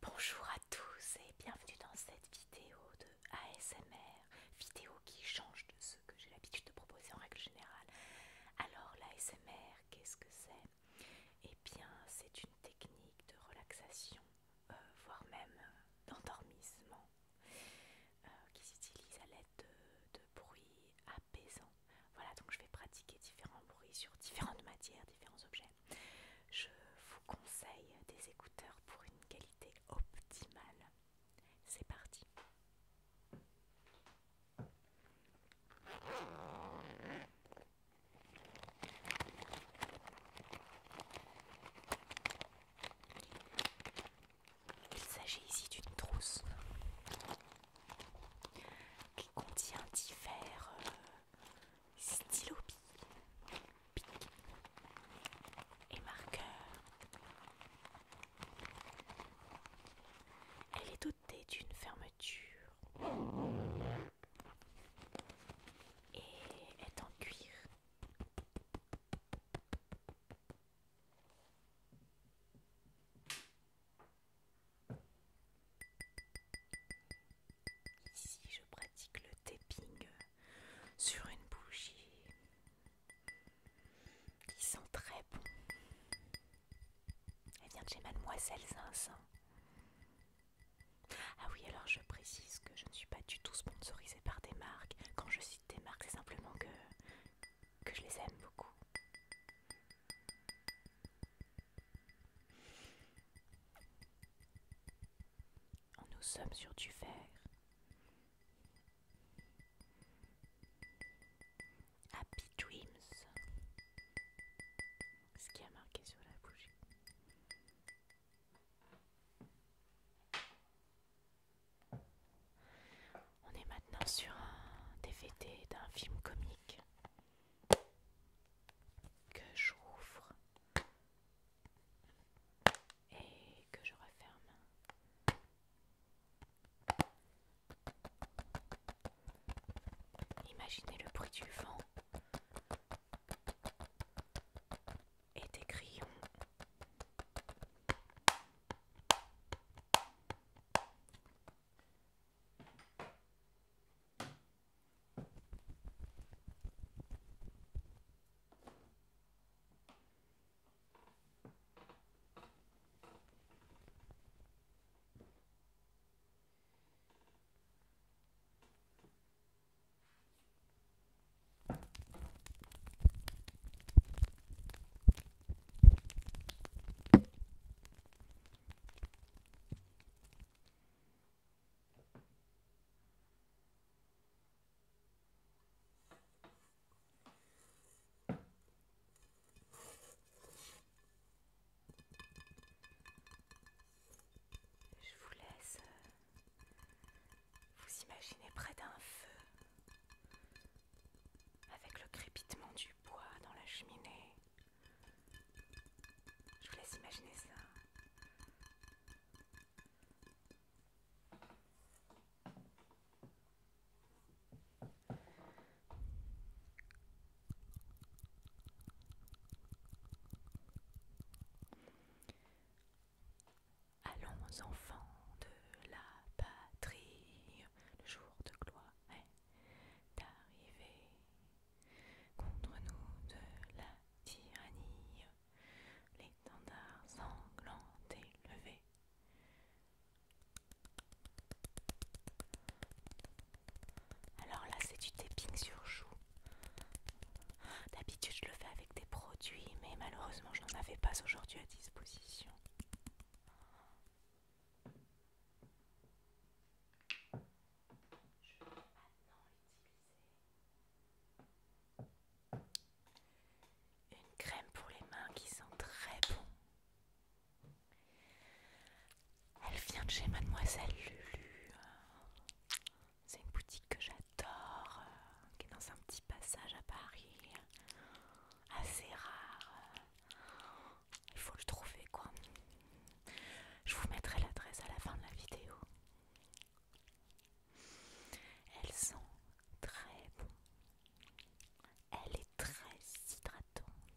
Bonjour à tous et bienvenue dans cette vidéo de ASMR, vidéo qui change de ce que j'ai l'habitude de proposer en règle générale. Alors l'ASMR, qu'est-ce que c'est Eh bien c'est une technique de relaxation, euh, voire même euh, d'endormissement, euh, qui s'utilise à l'aide de bruits apaisants voilà, donc je vais pratiquer différents bruits sur différentes matières, différents objets. Je vous conseille des écouteurs pour une qualité optimale. C'est parti. Il s'agit ici d'une trousse qui contient divers euh, stylos et marqueurs. Elle est dotée d'une fermeture et est en cuir. Ici, je pratique le tapping sur une bougie qui sent très bon. Elle vient de chez Mademoiselle Zins. Ah oui, alors je précise que je ne suis pas du tout sponsorisée par des marques. Quand je cite des marques, c'est simplement que que je les aime beaucoup. Nous sommes sur du fer. Happy dreams. Ce qui a marqué sur la bougie. On est maintenant sur un DVD d'un film comique que j'ouvre et que je referme. Imaginez le bruit du vent et des crayons. Je vous laisse euh, vous imaginez près d'un feu, avec le crépitement du bois dans la cheminée. Je vous laisse imaginer ça. Allons enfants de la patrie, le jour de gloire est arrivé. Contre nous de la tyrannie, l'étendard sanglant élevés. Alors là, c'est du tapping sur joue. D'habitude, je le fais avec des produits, mais malheureusement, je n'en avais pas aujourd'hui à disposition. Je vais maintenant utiliser une crème pour les mains qui sent très bon. Elle vient de chez Mademoiselle Lulu. C'est une boutique que j'adore, qui est dans un petit passage à Paris, assez rare. Il faut le trouver quoi. Je vous mettrai l'adresse à la fin de la vidéo. Elles sont très bon. Elle est très hydratante.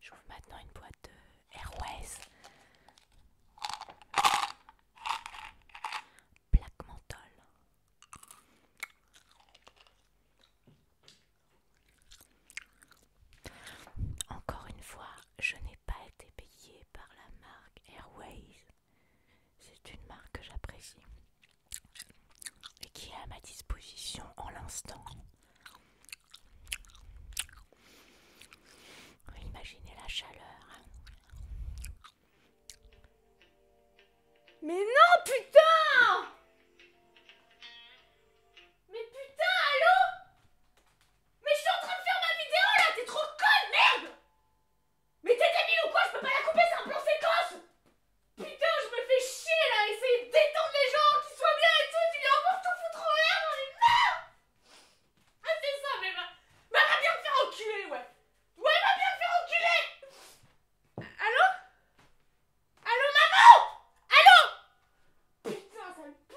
J'ouvre maintenant une boîte de Airways. Black menthol. Encore une fois, je n'ai pas été payée par la marque Airways. C'est une marque que j'apprécie et qui est à ma disposition en l'instant. Imaginez la chaleur. Mais non, putain Mais putain, allô mais je suis en train de faire ma vidéo là, t'es trop conne, merde Mais t'es débile ou quoi Je peux pas la couper, c'est un plan séquence Putain, je me fais chier là, essayer de détendre les gens, qu'ils soient bien et tout, tu viens encore tout foutre en l'air, j'en ai marre Ah c'est ça, mais va, bah, va bien me faire enculer, ouais Ouais, va bien me faire enculer Allô Allô maman Allô Putain, ça me